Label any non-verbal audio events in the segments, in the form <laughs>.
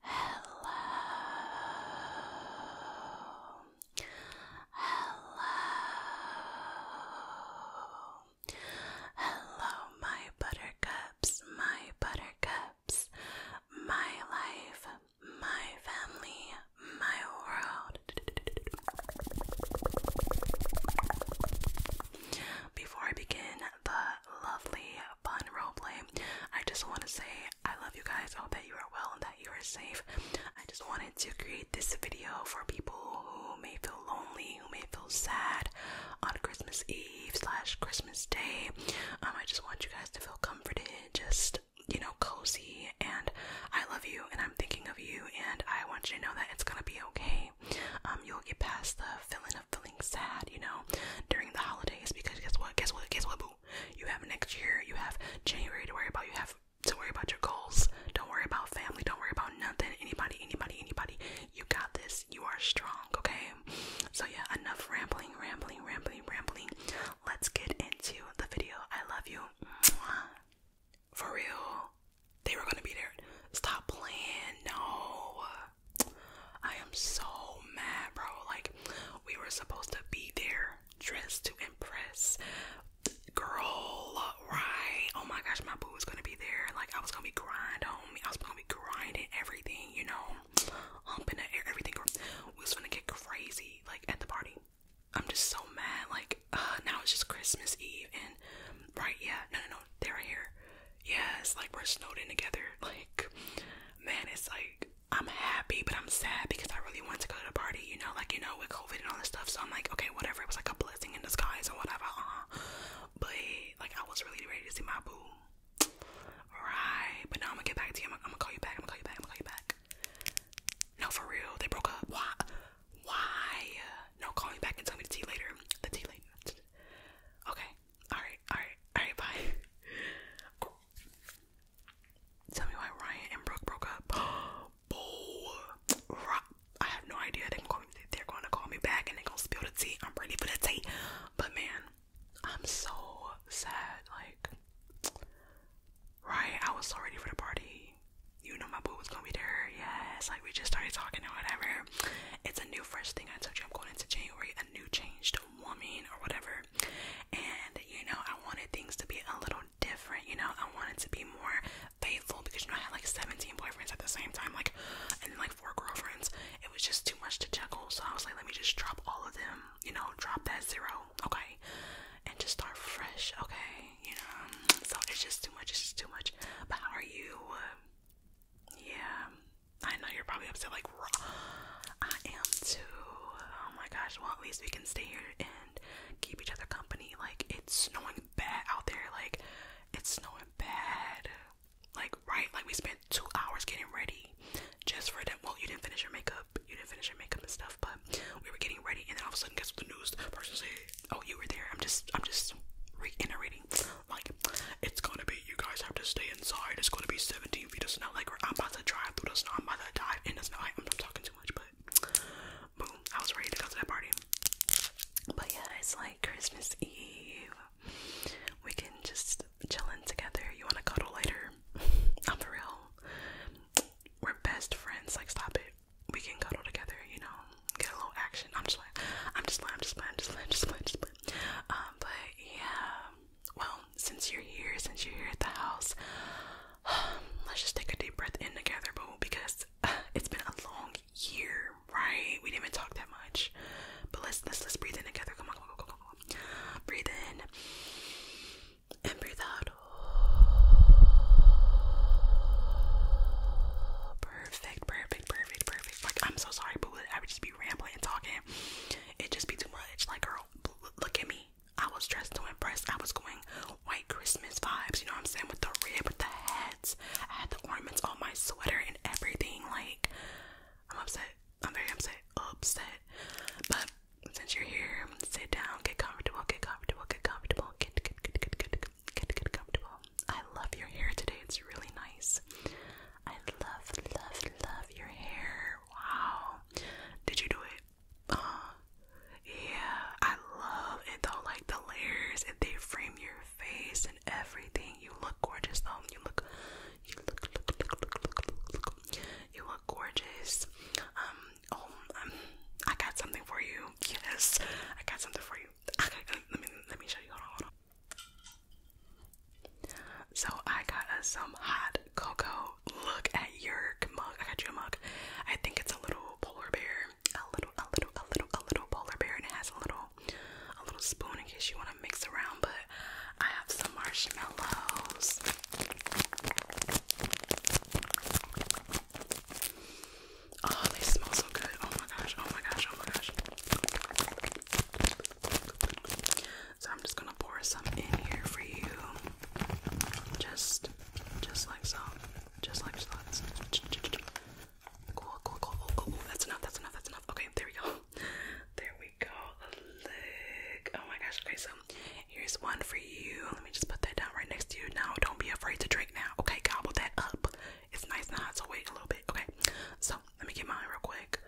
Hello. Hello. Hello, my buttercups, my buttercups, my life, my family, my world. Before I begin the lovely fun roleplay. I just want to say I love you guys. I hope that you are well and that you are safe. I just wanted to create this video for people who may feel lonely, who may feel sad on Christmas Eve slash Christmas Day. Um, I just want you guys to feel comforted, just you know, cozy. And I love you, and I'm thinking of you, and I want you to know that it's gonna be okay. Um, you'll get past the feeling of sad, you know, during the holidays because guess what? Guess what? Guess what, boo? You have next year, you have January to worry about, you have to worry about your goals. Don't worry about family, don't worry about nothing. Anybody, anybody, anybody. You got this. You are strong, okay? So yeah, enough rambling, rambling, rambling, rambling. Let's get into the video. I love you. For real. They were gonna be there. Stop playing. No. I am so mad, bro. Like, we were supposed to be there dressed to impress. Girl, right? Oh my gosh, my boo was gonna be there. Like, I was gonna be grinding on I was gonna be grinding everything, you know? Humping the air, everything. We was gonna get crazy, like, at the party. I'm just so mad. Like, uh, now it's just Christmas Eve, and right, yeah, no, no, no, they're right here. Yes, like, we're snowed in together. Like, man, it's like, I'm happy, but I'm sad because I really wanted to go to the party, you know, like you know, with COVID and all this stuff. So I'm like, okay, whatever. It was like a blessing in disguise or whatever. huh But like, I was really ready to see my boo. Right, but now I'm gonna get back to you. I'm gonna call you back. I'm gonna call you back. I'm gonna call you back. No, for real, they broke up. Why? Why? No, call me back and tell me the tea later. The tea later. Okay. Alright, alright, alright, bye. Tell me why Ryan and Brooke broke up. <gasps> I have no idea. They are going to call me back and they're going to spill the tea. I'm ready for the tea. But man, I'm so sad. Like, right? I was so ready for the party. You know, my boo was going to be there. Yes. Like, we just started talking and whatever. It's a new, fresh thing. I told you I'm going into January. A new change to woman or whatever. And you know, I wanted things to be a little different, you know, I wanted to be more faithful because you know I had like 17 boyfriends at the same time, like and like four girlfriends. It was just too much to juggle. So I was like, let me just drop all of them, you know, drop that zero, okay, and just start fresh, okay, you know. So it's just too much, it's just too much. But how are you? Yeah, I know you're probably upset, like, I am too. Oh my gosh, well, at least we can stay here and keep each other company. Like, it's snowing bad out there. Like, it's snowing bad. Like, right? Like, we spent two hours getting ready just for that. Well, you didn't finish your makeup. You didn't finish your makeup and stuff, but we were getting ready, and then all of a sudden, guess what the news person said? Oh, you were there. I'm just, I'm just reiterating. Like, it's gonna be, you guys have to stay inside. It's gonna be 17 feet of snow. Like, I'm about to drive through the snow. I'm about to dive in the snow. I, I'm not talking too much, but boom, I was ready to go to that party. But yeah, it's like Christmas Eve. We can just chillin' together. You wanna cuddle later? <laughs> I'm for real. We're best friends. Like, stop it. We can cuddle together, you know, get a little action. I'm just like, I'm just like, I'm just like, I'm just like, I'm just like, I'm just like. Um, but yeah, well, since you're here, since you're here at the house, <sighs> let's just take a deep breath in together, boo, because <sighs> it's been a long year, right? We didn't even talk that much. But let's let's let's breathe in together. Come on, come on, come on, Breathe in and breathe out. Perfect, perfect, perfect, perfect. Like I'm so sorry, boo. I would just be rambling and talking it just be too much. Like, girl, look at me. I was dressed to impress. I was going white Christmas vibes, you know what I'm saying? With the rib, with the hats. I had the ornaments on my sweater and everything. Like, I'm upset. I'm very upset. Upset. But since you're here, sit down, get comfortable, get comfortable, get comfortable, get get get get get get get, get comfortable. I love your hair today. It's really nice. I love, love, love your hair. Wow. Did you do it? Uh, yeah, I love it though. Like the layers, and they frame your face and everything. You look gorgeous though. You look, you look, look, look, look, look, look, look. You look gorgeous. Um, oh, um, I got something for you. Yes, I got something for you. let me let me show you. So I got some hot cocoa. Look at your mug. I got you a mug. I think it's a little polar bear. A little, a little, a little, a little polar bear, and it has a little, a little spoon in case you want to mix around. But I have some marshmallows. Oh, they smell so good. Oh my gosh, oh my gosh, oh my gosh. So I'm just gonna pour some in here for you. Just just like so. Just like so. Cool, cool, cool. Oh, oh, that's enough, that's enough, that's enough. Okay, there we go. <laughs> There we go. Look. Oh my gosh. Okay, so here's one for you. Let me just put that down right next to you. Now, don't be afraid to drink now. Okay, gobble that up. It's nice and hot, so wait a little bit. Okay, so let me get mine real quick.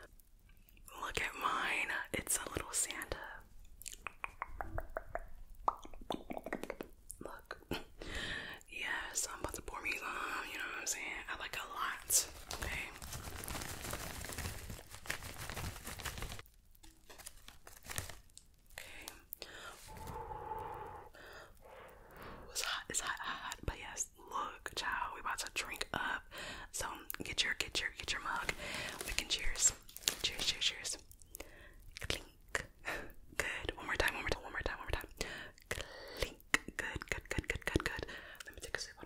Look at mine. It's a little Santa. Look. <laughs> yes, I'm about to pour me some, you know what I'm saying? I like a lot, okay? Okay. it's hot, it's hot, hot, hot, but yes, look, child, we about to drink up. So get your get your get your mug. We can cheers. Cheers, cheers, cheers. Clink. Good. One more time, one more time, one more time, one more time. Clink. Good, good, good, good, good, good. Let me take a sip.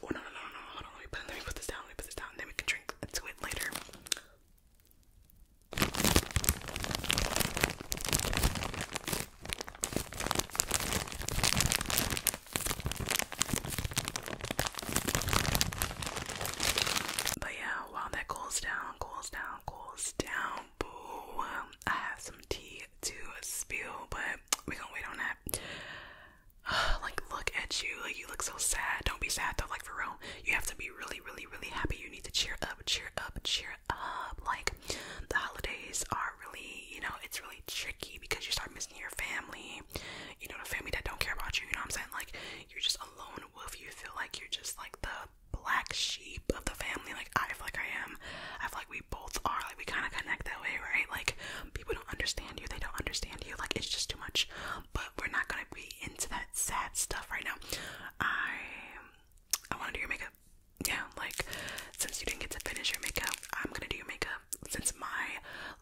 Hold on. Oh no no no no hold on let me put let me put this down, let me put this down, then we can drink to it later. But yeah, while that cools down, cools down, cools down, boo. I have some tea to spill, but we're gonna wait on that. <sighs> like, look at you. Like, you look so sad. Don't be sad Don't like, for You have to be really, really, really happy. You need to cheer up, cheer up, cheer up. Like, the holidays are really, you know, it's really tricky because you start missing your family, you know, the family that don't care about you, you know what I'm saying? Like you're just a lone wolf. You feel like you're just like the black sheep of the family. Like I feel like I am. I feel like we both are. Like we kind of connect that way, right? Like people don't understand you. They don't understand you. Like it's just too much. But we're not gonna be into that sad stuff right now. I I want to do your makeup yeah, like since you didn't get to finish your makeup, I'm gonna do your makeup since my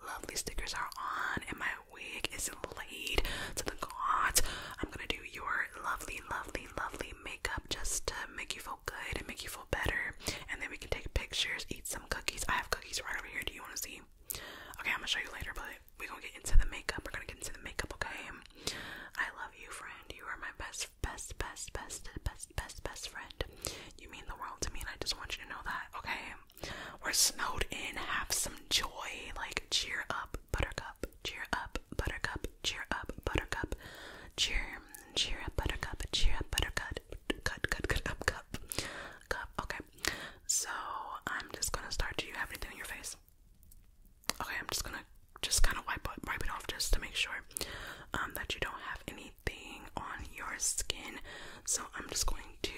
lovely stickers are on and my wig is laid to the gods. I'm gonna do your lovely, lovely, lovely makeup just to make you feel good and make you feel better. And then we can take pictures, eat some cookies. I have cookies right over here. Do you want to see? Okay, I'm gonna show you later, but we're gonna get into the makeup. We're gonna get into the makeup, okay? I love you, friend. You are my best best, best, best, best, best, best friend. You mean the world to me, and I just want you to know that, okay? We're snowed in, have some joy, like cheer up, buttercup, cheer up, buttercup, cheer up, buttercup, cheer, cheer up, buttercup, cheer up, buttercup, cut, cut, cut, up, cup, cup, okay. So I'm just gonna start. Do you have anything on your face? Okay, I'm just gonna just kind of wipe wipe it off just to make sure um, that you don't have any anything on your skin. So I'm just going to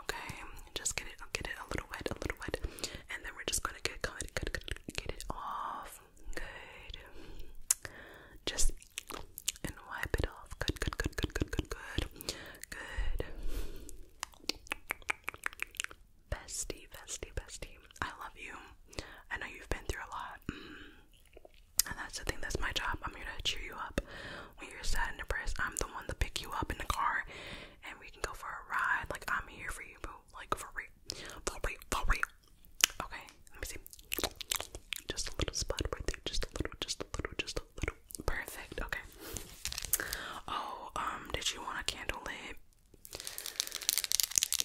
okay, just get it get it a little wet, a little wet, and then we're just gonna get good, good, good, get it off. Good. Just and wipe it off. Good, good, good, good, good, good, good. Good. Bestie, bestie, bestie. I love you. I know you've been through a lot. Mm. And that's the thing, that's my job. I'm here to cheer you up. When you're sad and depressed, I'm the one to pick you up in the car and we can go for a ride. Like, I'm here for you, boo. Like, for real. For real. For real. Okay, let me see. Just a little spot right there. Just a little, just a little, just a little. Perfect. Okay. Oh, um, did you want a candle lit?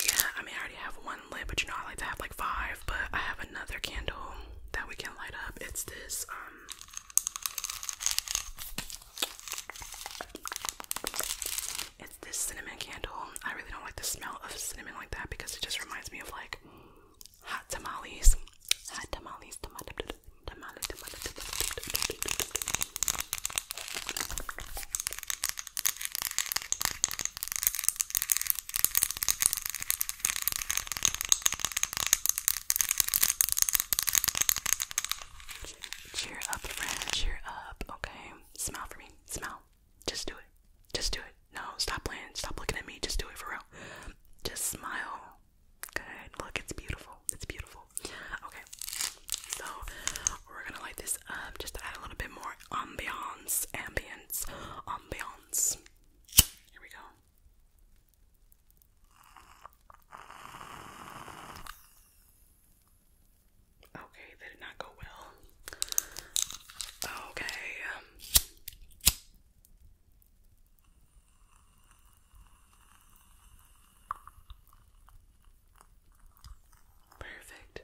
Yeah, I mean, I already have one lit, but you know, I like to have like five. But I have another candle that we can light up. It's this, um, it's this cinnamon candle. I really don't like the smell of cinnamon like that because it just reminds me of like hot tamales. Hot tamales, Cheer up, friend. Cheer up. Okay. Smile for me. Smile. Just do it. Just do it. No, stop playing. Stop looking at me. Just do it for real. Just smile. Good. Look, it's beautiful. It's beautiful. Okay. So, we're gonna light this um, just to add a little bit more ambiance, ambience, ambiance. Here we go. Okay, that did not go well. Okay. Um, perfect.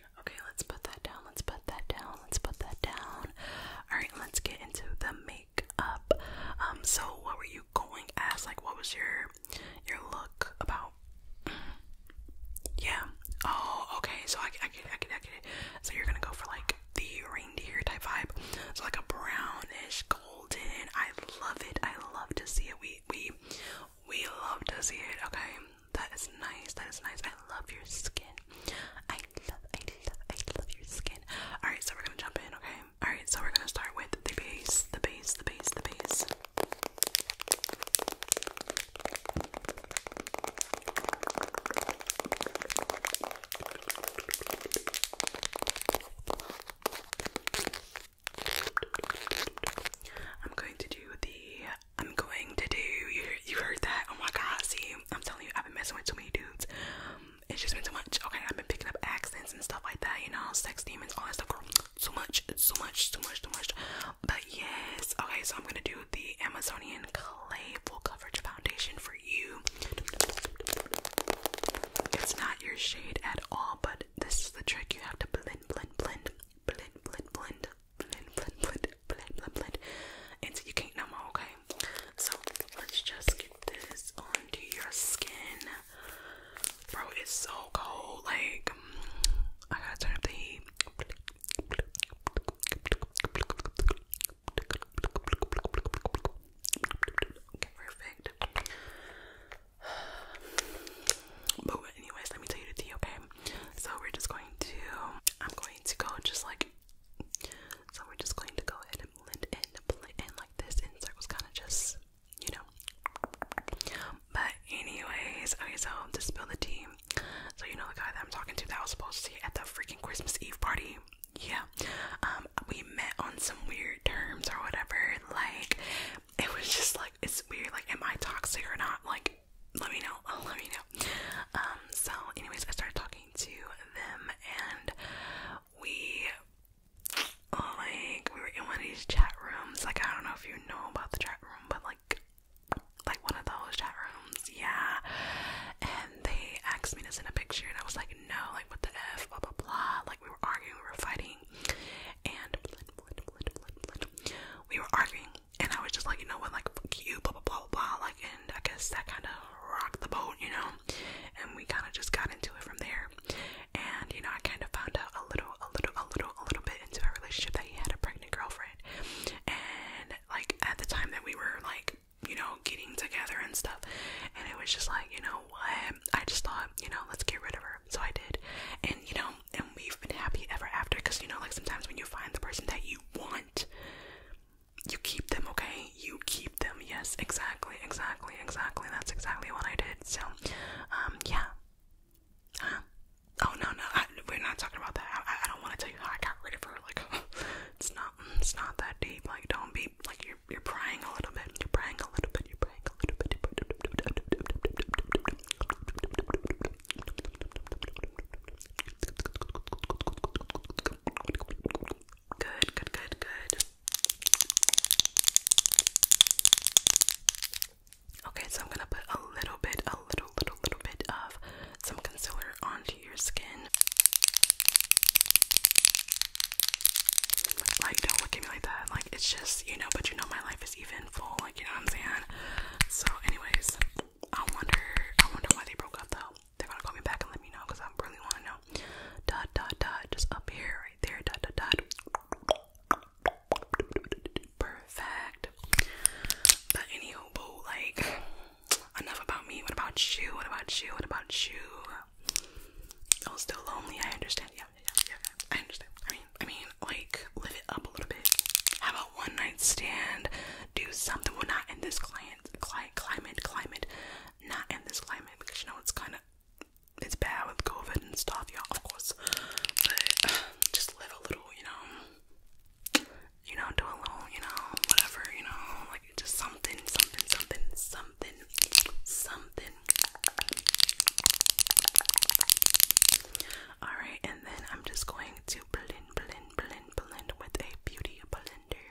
Okay, let's put that down. Let's put that down. Let's put that down. All right, let's get into the makeup. Um, so what were you going as? Like, what was your your look about? yeah. Oh, okay. So I, I get, I get, I get it. So you're gonna go for like the reindeer type vibe. So like a brownish golden. I love it. I love to see it. We we we love to see it. Okay. That is nice. That is nice. I love your skin. I love, I love, I love your skin. Alright, so we're gonna jump in, okay? Alright, so we're gonna start with the base, the base, the base, the base. I'm going to do the I'm going to do. You, you heard that? Oh my god, see, I'm telling you, I've been messing with too many dudes. it's just been too much. Okay, I've been picking up accents and stuff like that, you know, sex demons, all that stuff, girl. Too much, too much, too much, too much. But yes, okay, so I'm gonna do the Amazonian Clay Full Coverage Foundation for you. It's not your shade at all, but this is the trick. You have to blend, blend, blend, blend, blend, blend until you can't no more, okay? So let's just get this onto your skin. Bro, it's so cold. Like, I gotta turn up the heat. perfect. But anyways, let me tell you the tea, okay? So we're just going to, I'm going to go and just like so we are just going to go ahead and blend in, blend in like this insert was kind of just you know. But anyways, okay, so to spill the tea. So you know the guy that I'm talking to that I was supposed to see at the freaking Christmas Eve party. Yeah. Um we met on some weird terms or whatever. Like it was just like it's weird, like am I toxic or not? Like let me know. Oh, <laughs> let me know. Um, so, anyways, I started talking to them, and we, oh, like, we were in one of these chat rooms. Like, I don't know if you know about the chat room, but like, like one of those chat rooms, yeah. And they asked me to send a picture, and I was like, no, like, what the f, blah blah blah. Like, we were arguing, we were fighting, and we were arguing and I was just like, you know what, like you, blah blah blah blah blah. Like, and I guess that kind of rocked the boat, you know. And we kind of just got into it from there. And you know, I kind of found out a little, a little, a little, a little bit into our relationship that he had a pregnant girlfriend. And like at the time that we were like, you know, getting together and stuff, and it was just like, you know what, I just thought, you know, let's get rid of her. So I did, and you know, and we've been happy ever after. Cause you know, like sometimes when you find the person that you want you keep them, okay? You keep them. Yes, exactly, exactly, exactly. That's exactly what I did. So, um, yeah. Oh no, no, we're not talking about that. I, don't want to tell you how I got ready for. her. Like, <laughs> it's not, it's not that deep. Like, don't be like you're, you're prying a little bit. You're prying a little bit. You're prying a little bit. Good, good, good, good. Okay, so I'm gonna put a little bit, a little, little, little bit of some concealer onto your skin. Like, don't look at me like that. Like, it's just, you know, but you know, my life is even full. Like, you know what I'm saying? So, anyways. I wonder, I wonder why they broke up though. They're gonna call me back and let me know because I really want to know. Dot dot dot, just up here, right there. Dot dot dot. Perfect. But anywho, boo, like, enough about me. What about you? What about you? What about you? I'm oh, still lonely. I understand. Yeah, yeah, yeah. I understand. I mean, I mean, like, live it up a little bit. Have one night stand, do something. we Well, not in this client, climate, climate, climate, not in this climate because you know it's kind of it's bad with COVID and stuff, y'all. Of course, but <sighs> just live a little, you know. You know, do a little, you know, whatever, you know, like just something, something, something, something, something. Alright, and then I'm just going to blend, blend, blend, blend, blend with a beauty blender.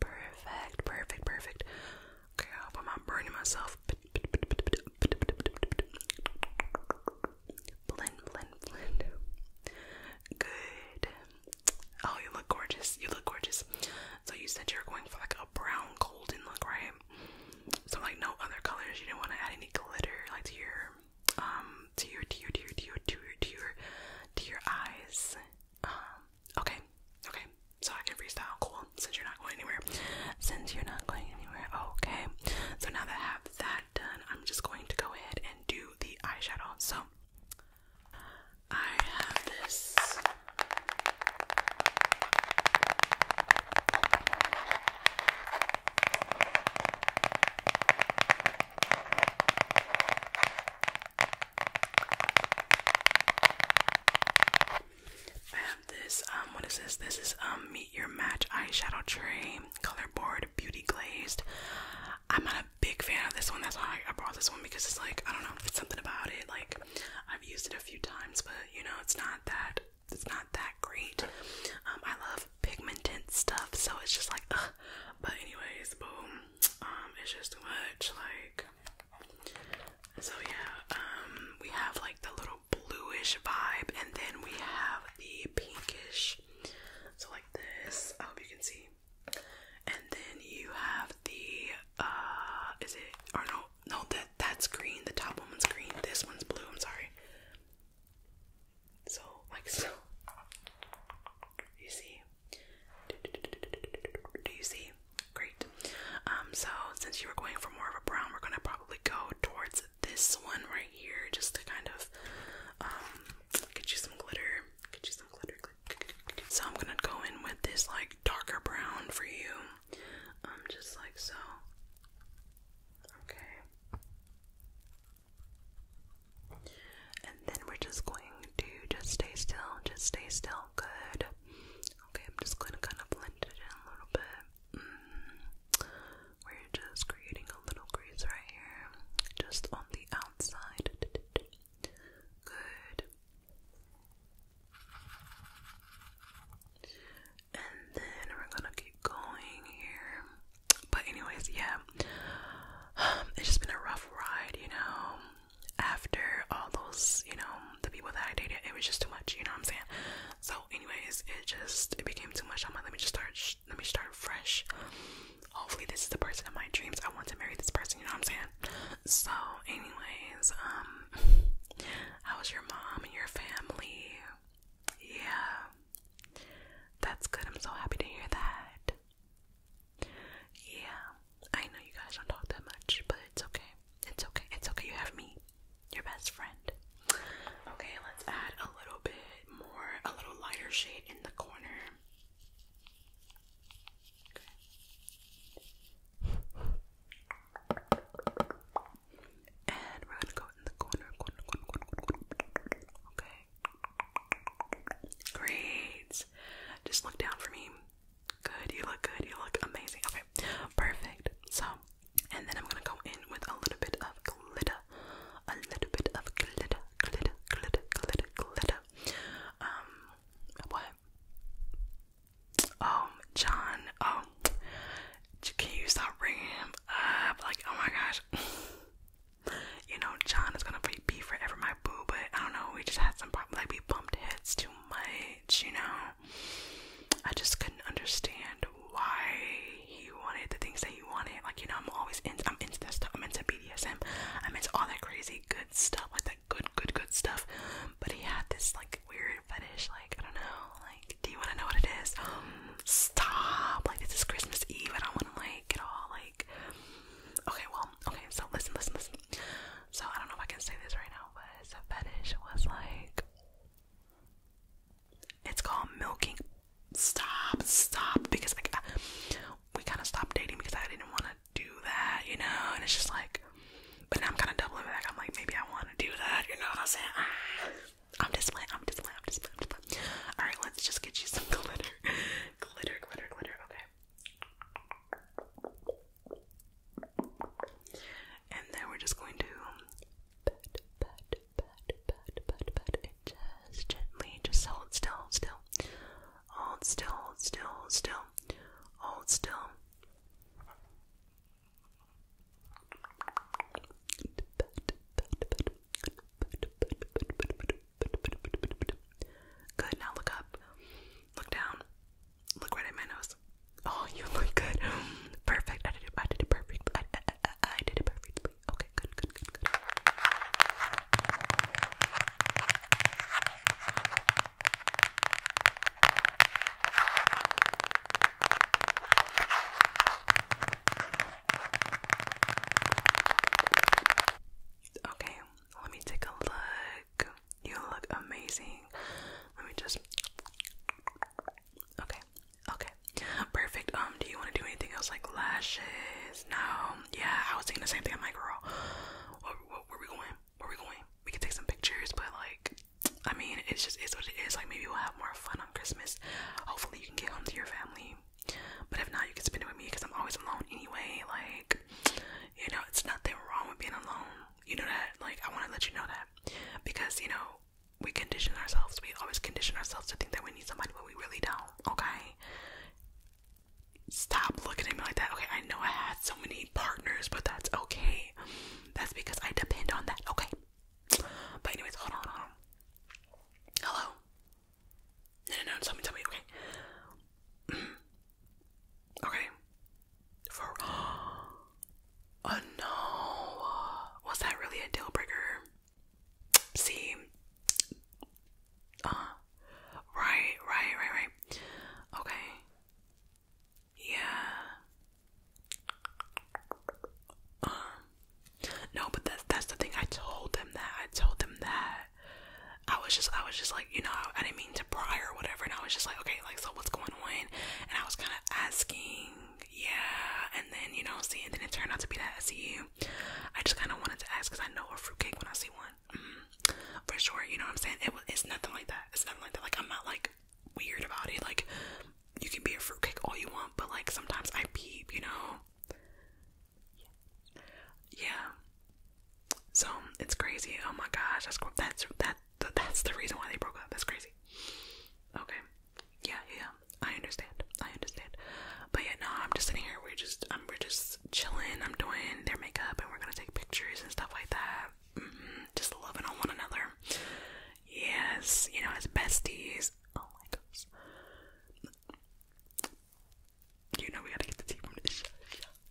Perfect, perfect, perfect. Okay, I hope I'm not burning myself. Blend, blend, blend. Good. Oh, you look gorgeous. You look gorgeous. So you said you were going for like a brown golden look, right? So like no other colors. You didn't want to add any glitter like to your um to your to your to your to your to your, to your eyes. Um okay. Okay. So I can freestyle, cool. Since you're not going anywhere. Since you're not going anywhere, okay. So now that I have that done, I'm just going to go ahead and do the eyeshadow. So I have this I have this, um, what is this? This is, um, Meet Your Match Eyeshadow Tray Color Board Beauty Glazed. I'm not big fan of this one. That's why I brought this one because it's like I don't know if it's something about it. Like I've used it a few times, but you know it's not that it's not that great. Um, I love pigment pigmented stuff, so it's just like. Ugh. But anyways, boom. Um, it's just too much. Like so, yeah. Um, we have like the little bluish vibe, and then we have the pinkish. So like this. I hope you can see and then you have the uh, is it or no no that that's green, the top one's green, this one's blue, I'm sorry. So like so you see do you see? Great. Um so since you were going for more of a brown, we're gonna probably go towards this one right here just to kind of um, Get you some glitter. Get you some glitter. So I'm gonna go in with this like darker brown for you. Um, just like so. Okay. And then we're just going to just stay still, just stay still. Good. Okay, I'm just going to kind of blend it in a little bit. Mm just creating a little grease right here, just on the outside. Good. And then we're gonna keep going here. But, anyways, yeah, um, it's just been a rough ride, you know. After all those, you know, the people that I dated, it was just too much, you know what I'm saying? So, anyways, it just it became too much. on my. let me just start, let me start fresh hopefully this is the person of my dreams. I want to marry this person, you know what I'm saying? So, anyways, um how's your mom and your family? Yeah. That's good. I'm so happy to hear that. Yeah. I know you guys don't talk that much, but it's okay. It's okay. It's okay. You have me, your best friend. Okay, let's add a little bit more, a little lighter shade in the corner. And we're gonna go in the corner, Okay. Great. Just look down for me. Good. You look good. You look amazing. Okay. Perfect. So, and then I'm gonna go in with a little bit of glitter a little bit of glitter, glitter, glitter, glitter, glitter. Um, what? Oh, John. Oh, can you stop bringing him up? Like, oh my gosh. <laughs> you know, John is gonna be forever my boo, but I don't know. We just had some problems. Like, we bumped heads too much. You know, I just couldn't understand why he wanted, the things that he wanted. Like you know, I'm always into. I'm into that stuff. I'm into BDSM. I'm into all that crazy good stuff, like that good, good, good stuff. But he had this like weird fetish. Like I don't know. Like, do you want to know what it is? Um, stop. Like this is Christmas Eve. I don't want to like get all like. Okay, well, okay. So listen, listen, listen. So I don't know if I can say this right now, but his fetish was like. It's called milking stop, stop, because like I, we kind of stopped dating because I didn't want to do that, you know. And it's just like, but now I'm kind of doubling back. I'm like, maybe I want to do that, you know what I'm saying? Ah. I'm just playing. I'm just playing. I'm just playing. All right, let's just get you some <laughs> glitter, glitter, glitter, glitter. Okay. And then we're just going to just gently, just hold still, still, hold still, still, still, hold still. Good, now look up, look down, look right at my nose. Oh, you look good. Perfect. I did it. I did it perfect. I did it perfect. Okay, good, good, good, good. Okay, let me take a look. You look amazing. Let me just. Okay, okay, Perfect. Um, do you want to do anything else like lashes? No. Yeah, I was saying the same thing. I'm like, girl, where, where, where we going? Where we going? We can take some pictures, but like, I mean, it's just it's what it is. Like, maybe we'll have more fun on Christmas. Hopefully, you can get home to your family. But if not, you can spend it with me because I'm always alone anyway. Like, you know, it's nothing wrong with being alone. You know that. Like, I want to let you know that because you know we condition ourselves. We always condition ourselves to think that we need somebody, but we really don't. Okay. Stop looking at me like that. Okay, I know I had so many partners, but that's okay. That's because I depend on that. Okay. But anyways, hold on, hold on. Hello. No, no, no. Tell me, tell me. Okay. <clears throat> okay. For <gasps> oh no, was that really a deal breaker? See? Uh, right, right, right, right. Okay. Yeah. Uh, no, but that's that's the thing. I told them that. I told them that. I was just I was just like, you know, I didn't mean to pry or whatever, and I was just like, okay, like so what's going on? And I was kinda asking, yeah, and then you know, see and then it turned out to be that SEU I just kind of wanted to ask because I know a fruitcake when I see one. Mm-hmm. For sure, you know what I'm saying? it's nothing like that. It's nothing like that. Like, I'm not like weird about it. Like, you can be a fruitcake all you want, but like sometimes I peep, you know? Yeah. So it's crazy. Oh my gosh, that's that's that that's the reason why they broke up. That's crazy. Okay. Yeah, yeah. I understand. I understand. But yeah, no, I'm just sitting here. We're just, um, we're just chilling. I'm doing their makeup, and we're gonna take pictures and stuff like that. Mm Just loving on one another. Yes, you know, as besties. Oh my gosh. You know, we gotta get the tea from this.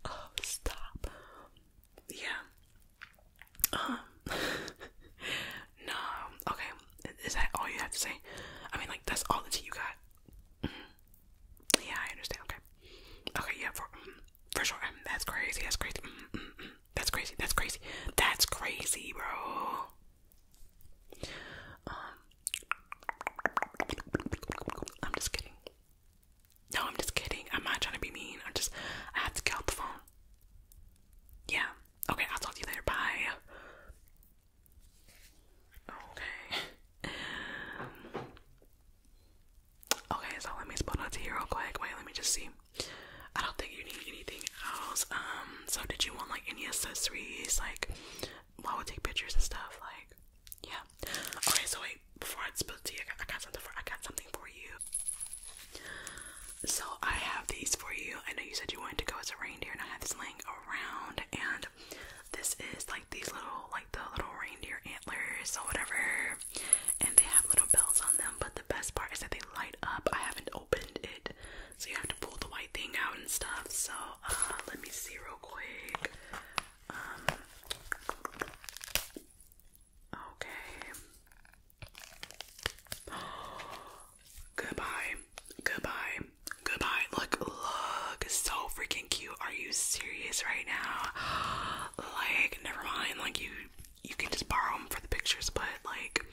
Oh, stop. Yeah. Um. <laughs> no. Okay. Is that all you have to say? I mean, like that's all the tea you got. Mm-hmm. Yeah, I understand. Okay, okay, yeah, for mm, for sure. Mm, that's crazy. That's crazy. Mm, that's crazy. That's crazy. That's crazy, bro. Um, I'm just kidding. No, I'm just kidding. I'm not trying to be mean. I'm just. I have to get off the phone. Yeah. Okay, I'll talk to you later. Bye. Okay. Um, okay, so let me spell that to you real quick. Wait, let me just see. I don't think you need anything else. Um, so did you want like any accessories? Like, while we take pictures and stuff, like, yeah. Okay, so wait, before I spill tea, I got, I got something for I got something for you. So I have these for you. I know you said you wanted to go as a reindeer and I have this laying around and this is like these little like the little reindeer antlers or whatever and they have little bells on them but the best part is that they light up. I haven't opened it so you have to pull the white thing out and stuff. So uh let me see real quick. Um, okay. Goodbye. Goodbye. Goodbye. Look, look. So freaking cute. Are you serious right now? <gasps> Like, never mind. Like, you you can just borrow them for the pictures, but like,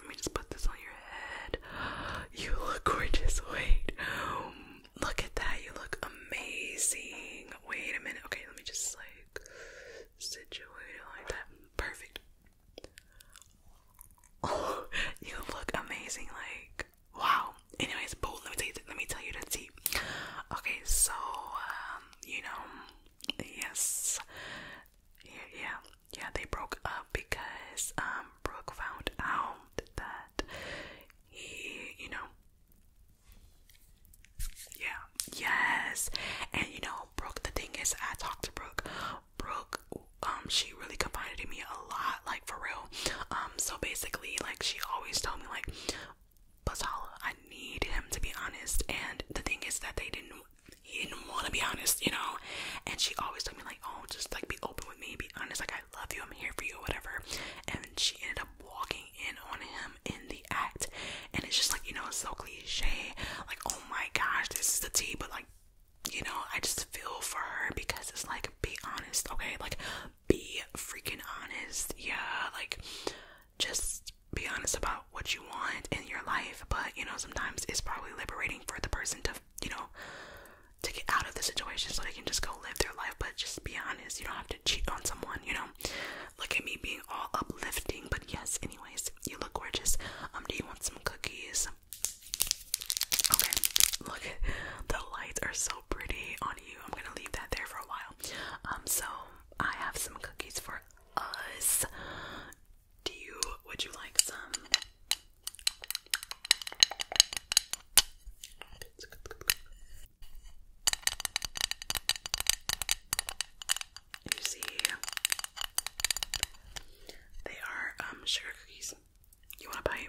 let me just put this on your head. <gasps> You look gorgeous. Wait. Um, look at that. You look amazing. Wait a minute. Okay, let me just like situate it like that. Perfect. <laughs> you look amazing, like wow. Anyways, boo, let me tell you let me tell you the tea. Okay, so um, you know, yes. Yeah, yeah, yeah, they broke up because um Brooke found out that he, you know, yeah, yes, and you know, Brooke. The thing is, I talked to Brooke Brooke, um, she really confided in me a lot, like for real. Um, so basically, like she always told me, like, "Plus, I need him to be honest. And the thing is that they didn't, he didn't want to be honest, you know. And she always told me, like, oh, just like be open with me, be honest, like I love you, I'm here for you, whatever. And she ended up walking in on him in the act, and it's just like you know, it's so cliche, like oh my gosh, this is the tea, but like you know, I just feel for her because it's like, be honest, okay? Like, be freaking honest. Yeah, like, just be honest about what you want in your life. But, you know, sometimes it's probably liberating for the person to, you know, to get out of the situation so they can just go live their life. But just be honest, you don't have to cheat on someone, you know? Look at me being all uplifting. But yes, anyways, you look gorgeous. Um, do you want some cookies? Okay, look, the lights are so pretty on you. I'm gonna leave that there for a while. Um, so I have some cookies for us. Do you? Would you like some? You see, they are um sugar cookies. You want a bite?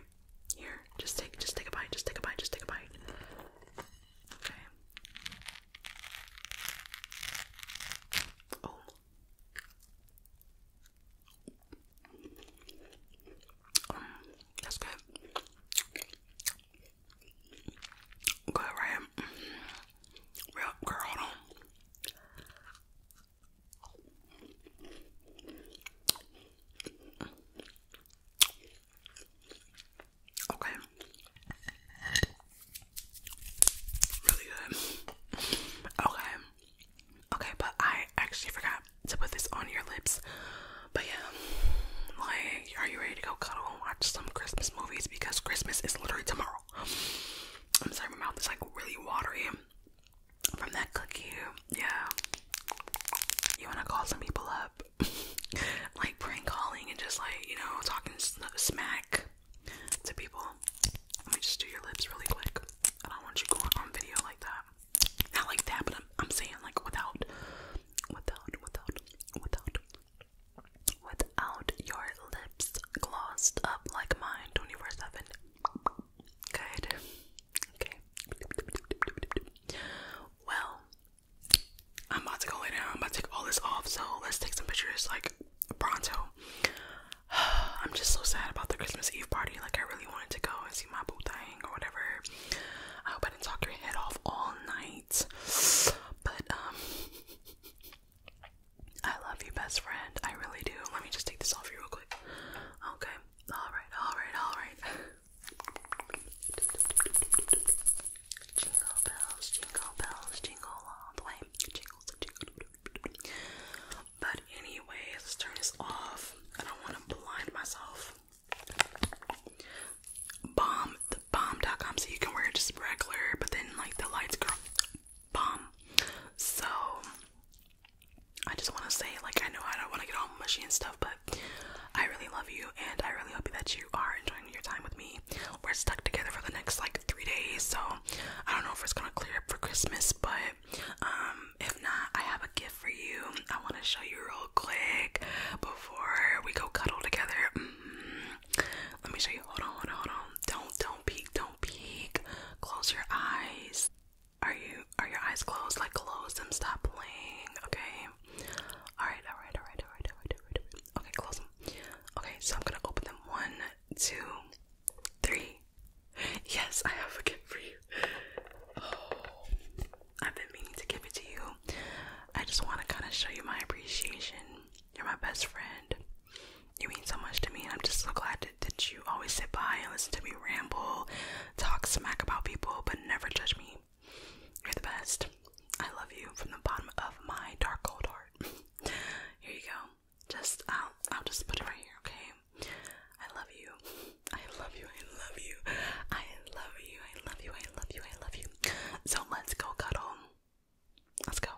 Here, just take, just take a bite, just take a bite, just take a bite. Okay. Oh. Um, that's good. Good, right? Real, girl, hold on. Okay. Really good. Okay. Okay, but I actually forgot to put this on your lips. But yeah, like, are you ready to go cuddle and watch some Christmas movies? Because Christmas is literally tomorrow. I'm sorry, my mouth is like really watery from that cookie. Yeah. You want to call some people up. <laughs> like prank calling and just like, you know, talking smack to people. Let me just do your lips really quick. I don't want you going on video like that. Not like that, but I'm, saying like without, without, without, without, without your lips glossed up like mine 24 7. Good. Okay. Well, I'm about to go in now. I'm about to take all this off, so let's take some pictures like pronto. <sighs> I'm just so sad about the Christmas Eve party. Like, I really wanted to go and see my boo thing or whatever. I hope I didn't talk your head off all night. <sighs> But, um, I love you, best friend. I really do. Let me just take this off you real quick. Okay. Alright, alright, alright. Jingle bells, jingle bells, jingle all the way. Jingles and But anyway, let's turn this off. I don't want to blind myself. Bomb, the bomb.com, so you can wear it just regular, but then like the lights grow. Bomb. So I just want to say, like, I know I don't want to get all mushy and stuff, but I really love you, and I really hope that you are enjoying your time with me. We're stuck together for the next like three days, so I don't know if it's gonna clear up for Christmas, but um, if not, I have a gift for you. I want to show you real quick before we go cuddle together. Mm-hmm. Let me show you. Hold on, hold on, hold on. Don't, don't don't peek, don't peek. Close your eyes. Are you are your eyes closed? Like close them, stop playing, okay? Alright, alright, alright, alright, alright, alright, Okay, close them. Okay, so I'm gonna open them one, two, three. Yes, I have a gift for you. Oh, I've been meaning to give it to you. I just want to kind of show you my appreciation. You're my best friend. You mean so much to me, and I'm just so glad that, you always sit by and listen to me ramble, talk smack about people, but never judge me. You're the best. I love you from the bottom of my dark old heart. <laughs> Here you go. Just I'll I'll just put it right here, okay? I love you. I love you. I love you. I love you. I love you. I love you. I love you. So let's go cuddle. Let's go.